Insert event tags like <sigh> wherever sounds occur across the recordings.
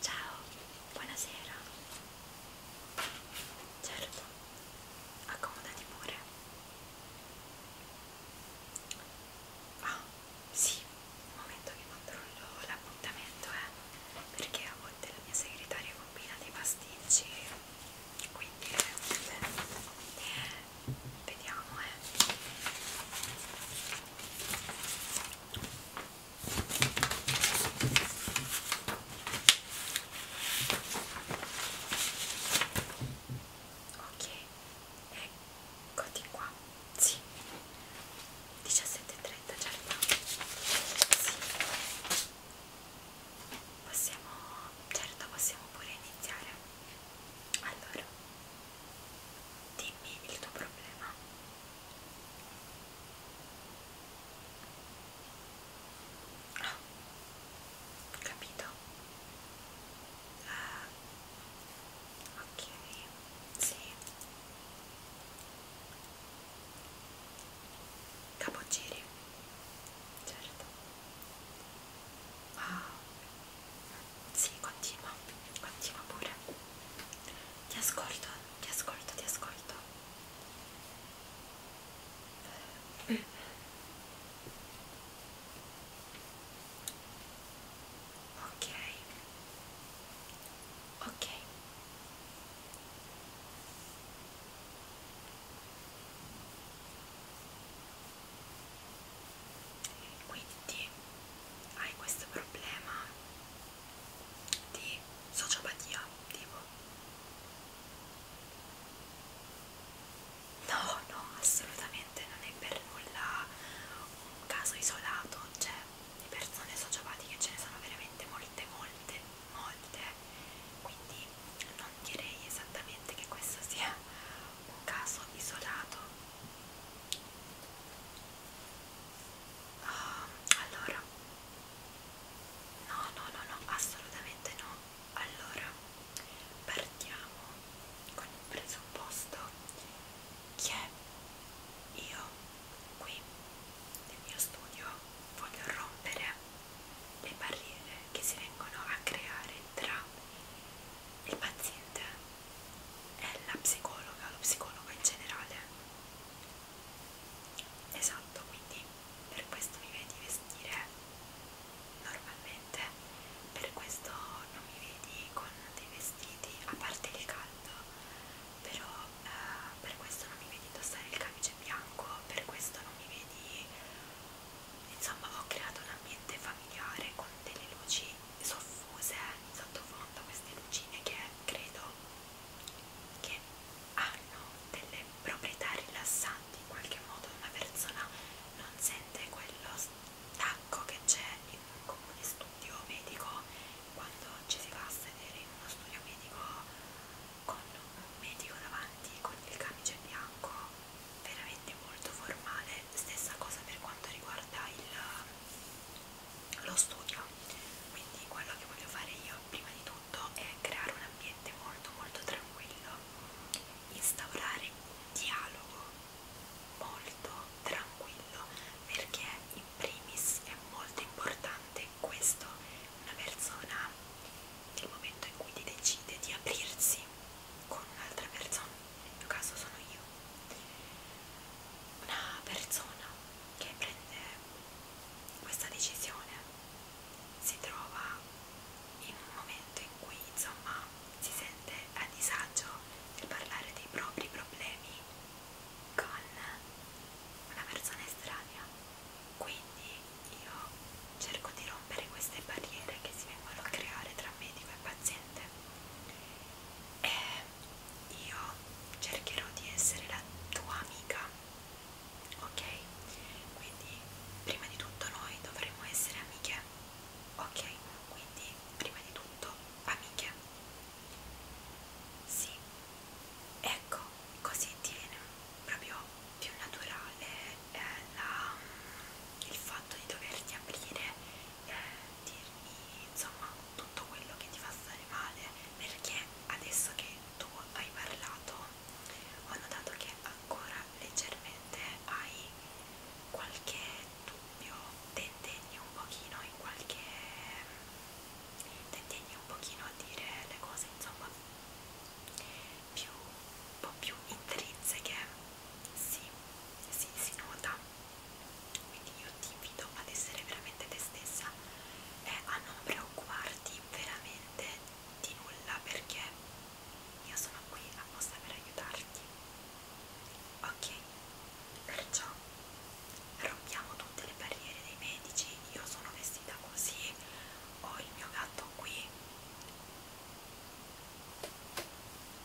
Ciao, buonasera. Certo, accomodati pure. Ah, sí, un momento che controllo l'appuntamento, eh, porque a volte este, la mia segretaria bambina dei pasticci quindi è eh, utile vediamo eh ok eccoti qua sì 17.30 certo sì possiamo, certo possiamo pure iniziare allora dimmi il tuo problema ah, capito uh, ok sì Capogiri, certo. Wow, sì, continua, continua pure. Ti ascolto, ti ascolto, ti ascolto. Mm. Ok, ok quindi hai questo problema di sociopatia tipo no no assolutamente non è per nulla un caso isolato cioè di persone sociopatiche ce ne sono veramente molte molte molte, quindi non direi esattamente che questo sia un caso isolato. Oh, allora, no, no, no, no, assolutamente no. Allora, partiamo con il presupposto che io qui nel mio studio voglio rompere le barriere che si vengono a creare tra il paziente e la psicologa, lo psicologo in generale. Esatto, quindi per questo mi vedi vestire normalmente, per questo non mi vedi con dei vestiti, a parte il caldo, però eh, per questo non mi vedi indossare il camice bianco, per questo non mi vedi... Insomma, ho creato un ambiente familiare con delle luci soffuse in sottofondo, queste lucine che credo che hanno delle proprietà rilassanti in qualche modo. Una persona non sente quello stacco che c'è in un comune studio medico quando ci si va a sedere in uno studio medico con un medico davanti con il camice bianco veramente molto formale stessa cosa per quanto riguarda il, lo studio quindi quello che voglio fare io prima di tutto è creare un ambiente molto molto tranquillo instaurare un dialogo molto tranquillo perché in primis è molto importante questo una persona nel momento in cui ti decide di aprirsi con un'altra persona, nel mio caso sono io, una persona che prende questa decisione si trova in un momento in cui insomma si sente a disagio nel parlare dei propri problemi con una persona estranea quindi io cerco di rompere queste barriere che si vengono a creare tra medico e paziente e io cercherò di essere la tua amica ok quindi prima di tutto noi dovremo essere amiche ok quindi prima di tutto amiche sì ecco così ti viene proprio più naturale eh, la, mm, il fatto di doverti aprire, eh, dirmi insomma tutto quello che ti fa stare male, perché adesso che tu hai parlato ho notato che ancora leggermente hai qualche dubbio, tentegni un pochino in qualche mm, tentegni un pochino a dire le cose insomma più, un po' più intrinseche si, si, si nota quindi io ti invito ad essere veramente te stessa e a non preoccuparti veramente di nulla perché io sono qui apposta per aiutarti ok perciò rompiamo tutte le barriere dei medici io sono vestita così ho il mio gatto qui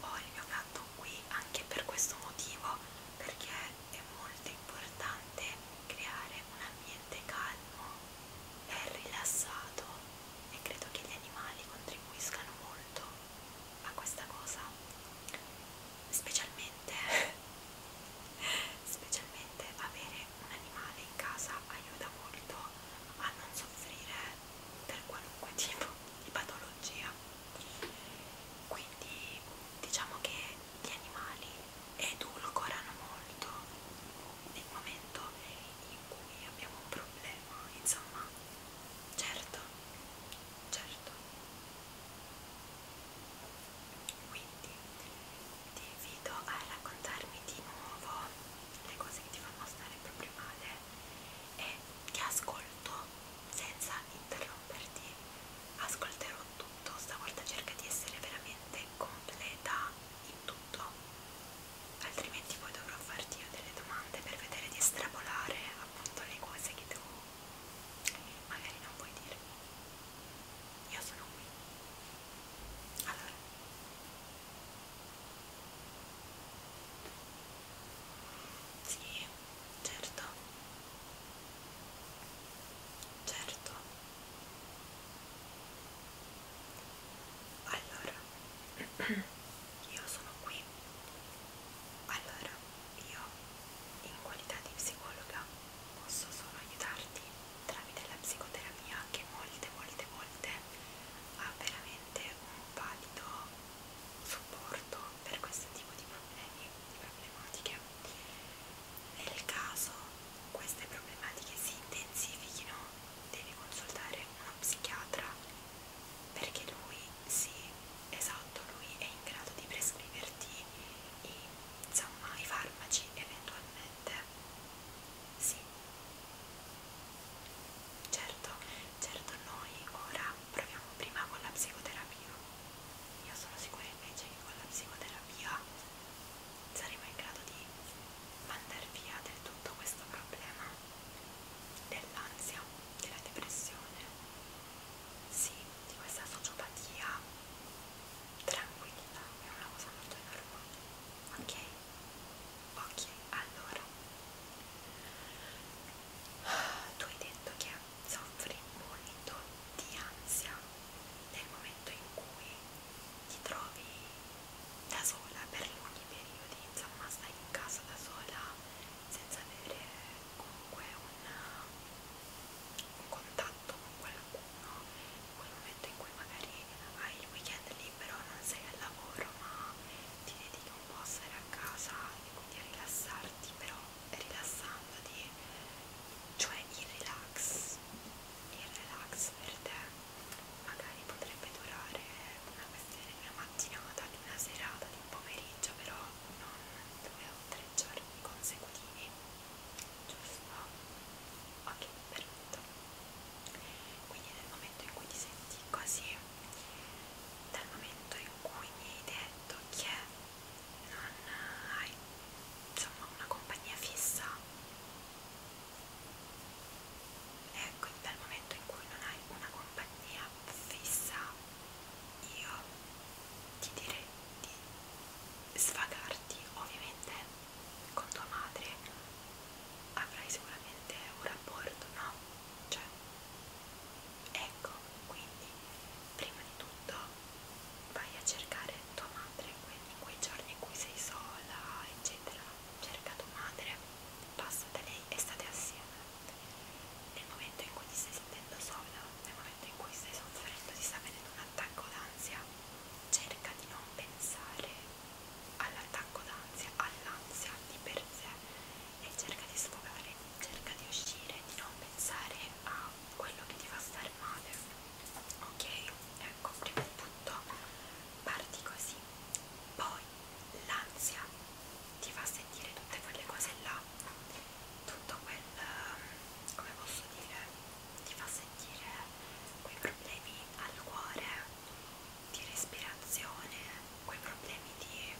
ho il mio gatto qui anche per questo motivo perché è molto importante creare un ambiente calmo e rilassato e credo che gli animali contribuiscano molto a questa cosa specialmente <laughs> specialmente avere un animale in casa aiuta molto a non soffrire per qualunque tipo di patologia quindi diciamo che gli animali edulcorano molto nel momento in cui abbiamo un problema insomma certo certo quindi ti invito a raccontarmi di nuovo le cose che ti fanno stare proprio male e ti ascolto senza interromperti ascolterò tutto stavolta cerca di essere veramente completa in tutto altrimenti poi dovrò farti io delle domande per vedere di estrapolare appunto le cose che tu magari non puoi dirmi io sono qui allora sì, certo certo allora <clears throat> io sono qui allora io in qualità di psicologa posso solo aiutarti tramite la psicoterapia che molte molte volte ha veramente un valido supporto per questo tipo di problemi, di problematiche. Nel caso queste problematiche si intensifichino devi consultare uno psichiatra perché lui sì, esatto, lui è in grado di prescriverti i, insomma, i farmaci eventualmente sì, certo, certo noi ora proviamo prima con la psicoterapia. Io sono sicura invece che con la psicoterapia saremo in grado di mandare via del tutto questo problema dell'ansia, della depressione, sì, di questa sociopatia tranquilla, è una cosa molto enorme, ok? ok allora tu hai detto che soffri molto di ansia nel momento in cui ti trovi da sola per lunghi periodi insomma stai in casa da sola senza avere comunque una, un contatto con qualcuno in quel momento in cui magari hai il weekend libero libero, non sei al lavoro ma ti dedichi un po' a stare a casa e quindi a rilassarti, però rilassandoti, cioè il relax, il relax per te magari potrebbe durare una questione di una mattinata, di una serata, di un pomeriggio, però non due o tre giorni consecutivi, giusto? Ok, perfetto quindi nel momento in cui ti senti così dal momento in cui mi hai detto che non hai insomma una compagnia fissa ecco dal momento in cui non hai una compagnia fissa io ti direi di svagarti ovviamente con tua madre avrai sicuramente un rapporto, no? Cioè, ecco, quindi prima di tutto vai a cercare tua madre in quei giorni in cui sei sola, eccetera. Cerca tua madre, passa da lei e state assieme. Nel momento in cui ti stai sentendo sola, nel momento in cui stai soffrendo di sapere di un attacco d'ansia, cerca di non pensare all'attacco d'ansia, all'ansia di per sé e cerca di sfogare, cerca di uscire, di non pensare a quello che ti fa stare male. Ok? Ecco, prima di tutto parti così. Poi l'ansia ti fa sentire tutte quelle cose là, tutto quel, come posso dire, ti fa sentire dire quei problemi al cuore, di respirazione, quei problemi di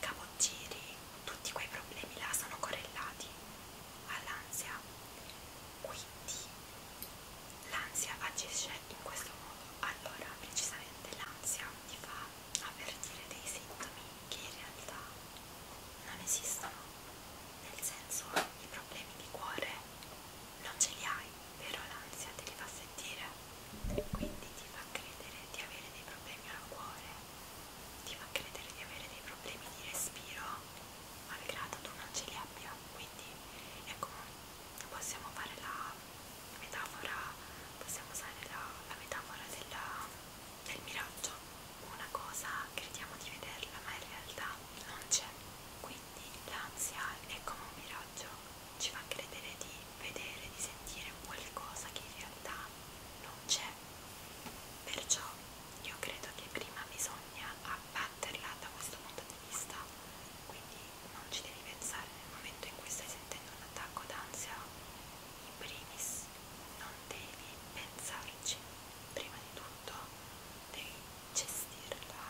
capogiri, tutti quei problemi là sono correlati all'ansia. Quindi l'ansia agisce in questo modo. Allora, precisamente l'ansia ti fa avvertire dei sintomi che in realtà non esistono, nel senso i problemi di cuore non ce li hai, però l'ansia te li fa sentire, quindi ti fa credere di avere dei problemi al cuore, ti fa credere di avere dei problemi di respiro, malgrado tu non ce li abbia, quindi ecco, possiamo fare la metafora, possiamo usare la, la metafora della, del miraggio, una cosa crediamo di vederla ma in realtà non c'è, quindi quindi l'ansia è come un miraggio, ci fa credere di vedere, di sentire qualcosa che in realtà non c'è. Perciò io credo che prima bisogna abbatterla da questo punto di vista, quindi non ci devi pensare nel momento in cui stai sentendo un attacco d'ansia, in primis non devi pensarci, prima di tutto devi gestirla,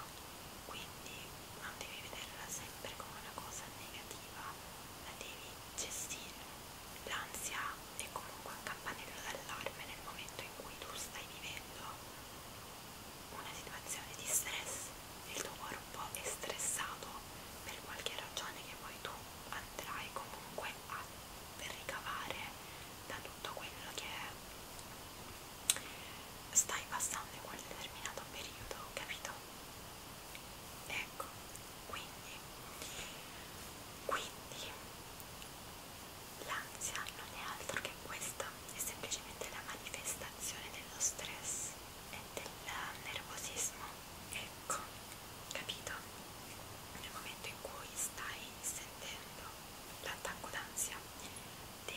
quindi non devi vederla sempre come una cosa negativa, la devi gestire. L'ansia è comunque un campanello d'allarme nel momento in cui tu stai vivendo una situazione di stress, il tuo corpo è stressato per qualche ragione che poi tu andrai comunque a ricavare da tutto quello che è stai passando in quel determinato periodo, capito? Ecco, quindi, quindi l'ansia non è altro che questa, è semplicemente la manifestazione dello stress e del nervosismo, ecco, capito? Nel momento in cui stai sentendo l'attacco d'ansia devi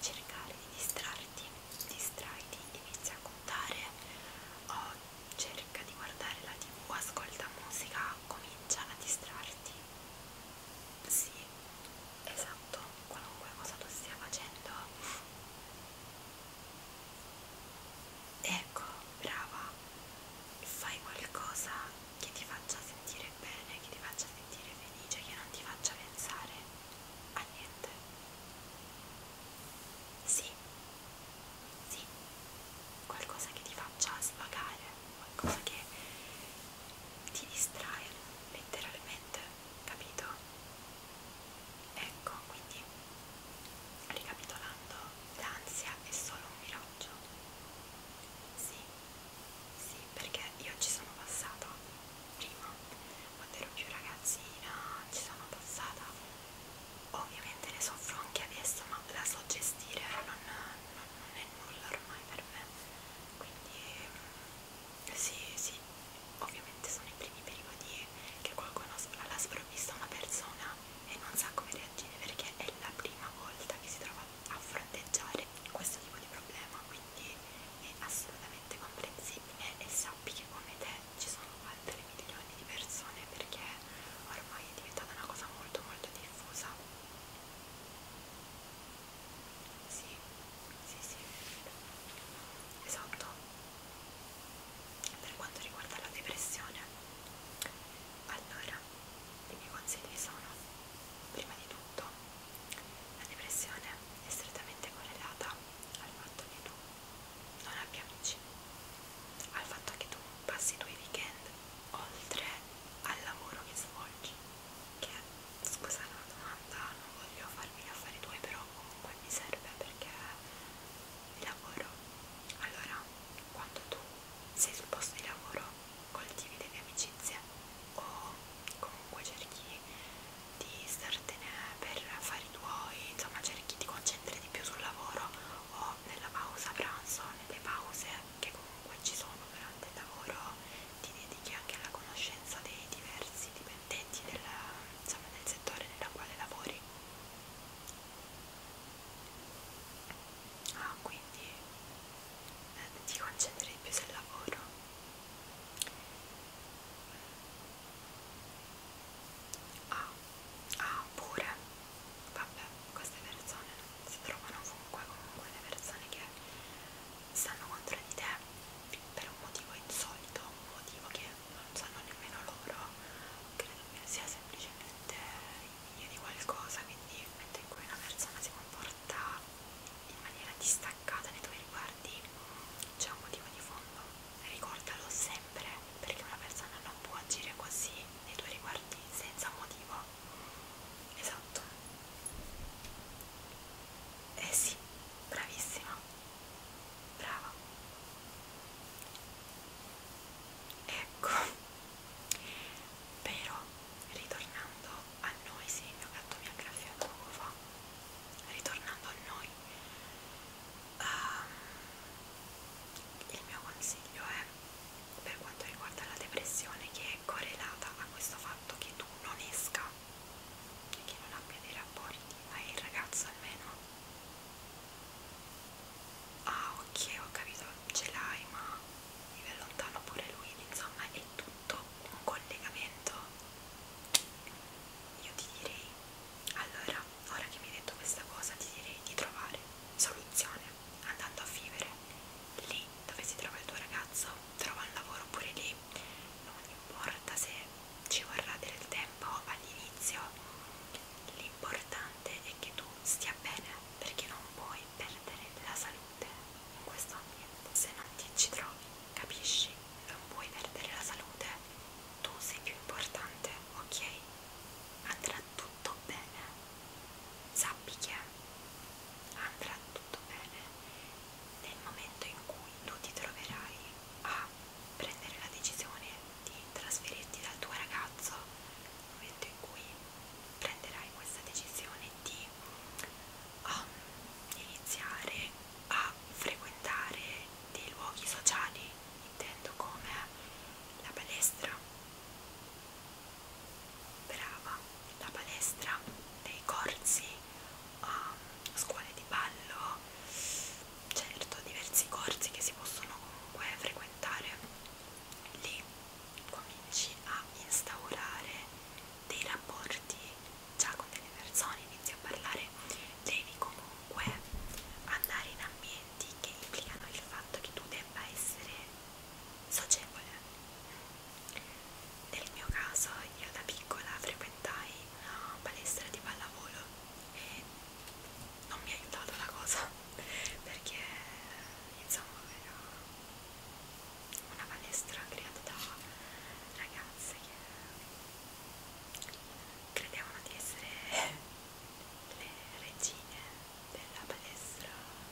cercare di distrarti, distraiti, inizia a contare o cerca di guardare la tv, ascolta musica, comincia a distrarti. Sì, esatto, qualunque cosa tu stia facendo. Ecco, brava, fai qualcosa che ti faccia sentire sentire bene, che ti faccia sentire felice, che non ti faccia pensare a niente. Sì, sì, qualcosa che ti faccia svagare, qualcosa che ti distrae letteralmente, capito? Ecco, quindi ricapitolando, l'ansia è solo un miraggio. Sì, sì, perché io ci sono passata prima, quando ero più ragazzina, ci sono passata. Ovviamente ne soffro anche adesso, ma la so gestire, non, non, non è nulla ormai per me. Quindi mm, sì, sì, ovviamente sono i primi periodi che qualcuno alla sprovvista una persona e non sa come reagire perché è la prima volta che si trova a fronteggiare avere questo tipo di problema, quindi è assolutamente comprensibile e sappi che come te ci sono altre milioni di persone perché ormai è diventata una cosa molto molto diffusa. Sì, sì, sì, esatto. Per quanto riguarda la depressione, allora i miei consigli sono Prima di tutto, la depressione è strettamente correlata al fatto che tu non abbia amici, al fatto che tu passi i tuoi weekend oltre al lavoro che svolgi, che scusa la domanda, non voglio farmi gli affari tuoi, però comunque mi serve perché lavoro. Allora, quando tu sei sul posto di lavoro, coltivi delle amicizie o comunque cerchi di startene per fare i tuoi, insomma cerchi di concentrare di più sul lavoro o nella pausa pranzo, nelle pause che comunque ci sono durante il lavoro, ti dedichi anche alla conoscenza dei diversi dipendenti del, insomma, del settore nella quale lavori. Ah, quindi eh, ti concentri più sul lavoro. Ah, ah pure, vabbè, queste persone si trovano ovunque, comunque le persone che stanno contro di te per un motivo insolito, un motivo che non sanno nemmeno loro, credo che sia semplicemente il video di qualcosa, quindi il momento in cui una persona si comporta in maniera distaccata nei tuoi riguardi c'è un motivo di fondo. Ricordalo sempre perché una persona non può agire così nei tuoi riguardi senza un motivo. Esatto. Eh sì, bravissima. Brava. Ecco. Però, ritornando a noi sì, il mio gatto mi ha graffiato poco fa, ritornando a noi, uh, il mio consiglio è per quanto riguarda la depressione che è correlata a questo fatto che tu non esca e che non abbia dei rapporti, ma il ragazzo almeno ah ok ho capito ce l'hai ma vive lontano pure lui insomma e tu fatto un collegamento io ti direi allora ora che mi hai detto questa cosa ti direi di trovare soluzione andando a vivere lì dove si trova il tuo ragazzo trova un lavoro pure lì non importa se ci vorrà del tempo all'inizio l'importante è che tu stia bene perché non puoi perdere la salute in questo ambiente. Se non ti ci trovi, capisci? Non puoi perdere la salute, tu sei più importante, ok? Andrà tutto bene, sappi che andrà tutto bene nel momento in cui tu ti troverai a prendere la decisione di trasferirti dal tuo ragazzo, nel momento in cui prenderai questa decisione di a iniziare a frequentare dei luoghi sociali, intendo come la palestra. Brava, la palestra, dei corsi, um, scuole di ballo, certo diversi corsi che si possono comunque frequentare. Lì cominci a instaurare dei rapporti già con delle persone, inizi a parlare, devi comunque andare in ambienti che implicano il fatto che tu debba essere socievole. Nel mio caso io da piccola frequentai una palestra di pallavolo e non mi ha aiutato la cosa <laughs> perché insomma era una palestra creata da ragazze che credevano di essere le regine della palestra,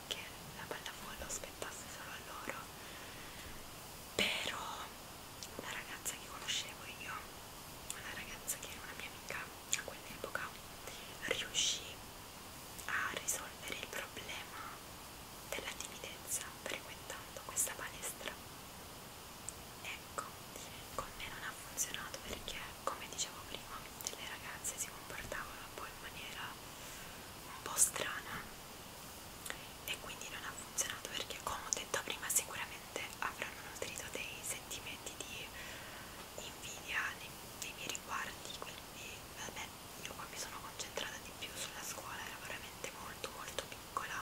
che la pallafollo spettasse solo a loro, però una ragazza che conoscevo io, una ragazza che era una mia amica a quell'epoca, riuscì a risolvere il problema della timidezza frequentando questa palestra. Ecco, con me non ha funzionato perché, come dicevo prima, le ragazze si comportavano un po' in maniera un po' strana e quindi non ha funzionato perché, come ho detto prima, sicuramente avranno nutrito dei sentimenti di invidia nei, nei miei riguardi, quindi vabbè, io qua mi sono concentrata di più sulla scuola, era veramente molto molto più piccola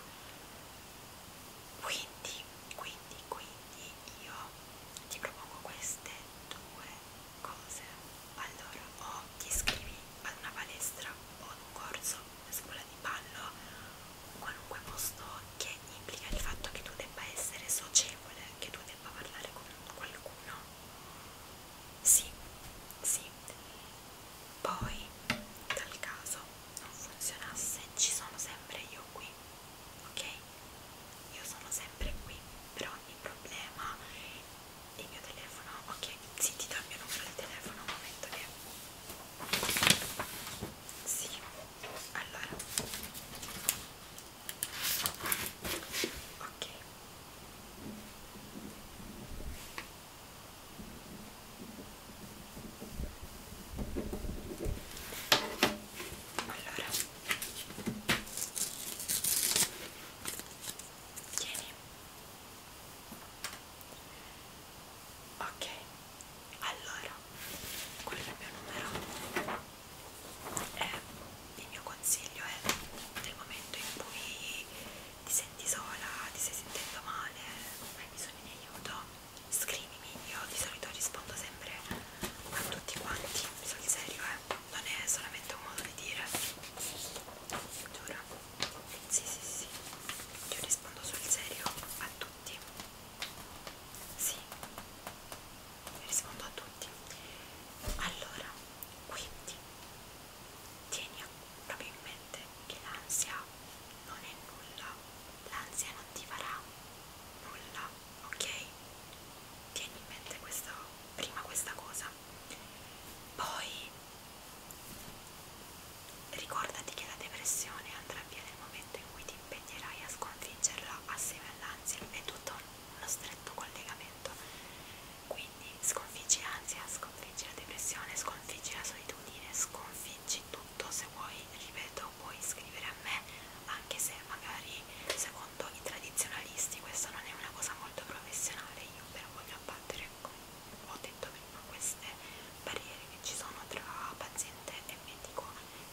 quindi quindi quindi io ti propongo queste due cose allora o ti iscrivi ad una palestra o ad un corso una scuola di ballo un qualunque posto che implica il fatto che tu debba essere socievole che tu debba parlare con qualcuno sì sì poi dal caso non funzionasse ci sono sempre io qui ok io sono sempre qui per ogni problema il mio telefono ok sì ti do il mio numero di telefono un momento che sì allora ok allora, tieni. Ok, allora, quello è il mio numero. Eh, il mio consiglio è nel momento in cui ti senti sola, ti stai sentendo male, hai bisogno di aiuto, scrivimi, io di solito rispondo sempre a tutti quanti, sul serio eh, non è solamente un modo di dire, giuro, sì sì sì, io rispondo sul serio a tutti, sì, rispondo a tutti, allora, quindi tieni proprio in mente che l'ansia non è nulla, l'ansia non ti farà nulla, ok? Tieni in mente questo, prima questa cosa, poi ricordati che la depressione andrà via nel momento in cui ti impegnerai a sconfiggerla assieme all'ansia, è tutto uno stretto collegamento, quindi sconfiggi ansia, sconfiggi la depressione, sconfiggi la solitudine, sconfiggi tutto. Se vuoi, ripeto, puoi scrivere a me, anche se magari secondo i tradizionalisti questa non è una cosa molto professionale, io però voglio abbattere, come ho detto prima, queste barriere che ci sono tra paziente e medico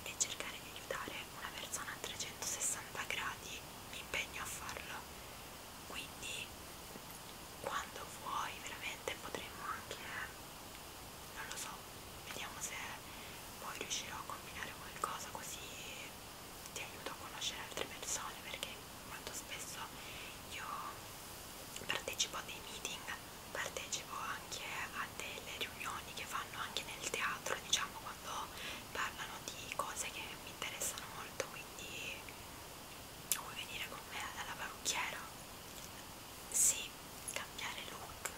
e cercare di aiutare una persona a 360 gradi mi impegno a farlo quindi quando vuoi veramente potremmo anche non lo so vediamo se poi riuscirò a combinare qualcosa così ti aiuto a conoscere altre persone perché molto spesso io partecipo a dei meeting partecipo anche a delle riunioni che fanno anche nel teatro diciamo quando parlano di cose che mi interessano molto quindi vuoi venire con me alla parrucchiera? Sì, cambiare look,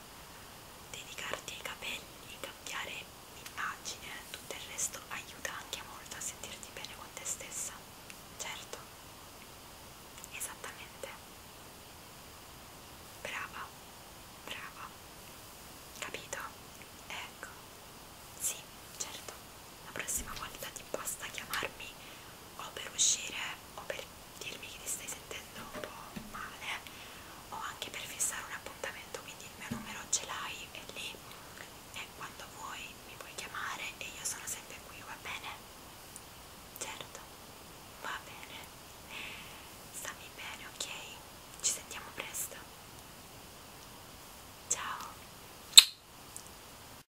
dedicarti ai capelli, cambiare immagine, tutto il resto aiuta anche molto a sentirti bene con te stessa, certo, esattamente, brava, brava, capito? Ecco, sì, certo la prossima volta ti basta chiamarmi o per uscire o per dirmi che ti stai sentendo un po' male o anche per fissare un appuntamento quindi il mio numero ce l'hai è lì e quando vuoi mi puoi chiamare e io sono sempre qui va bene? certo va bene stammi bene ok? ci sentiamo presto ciao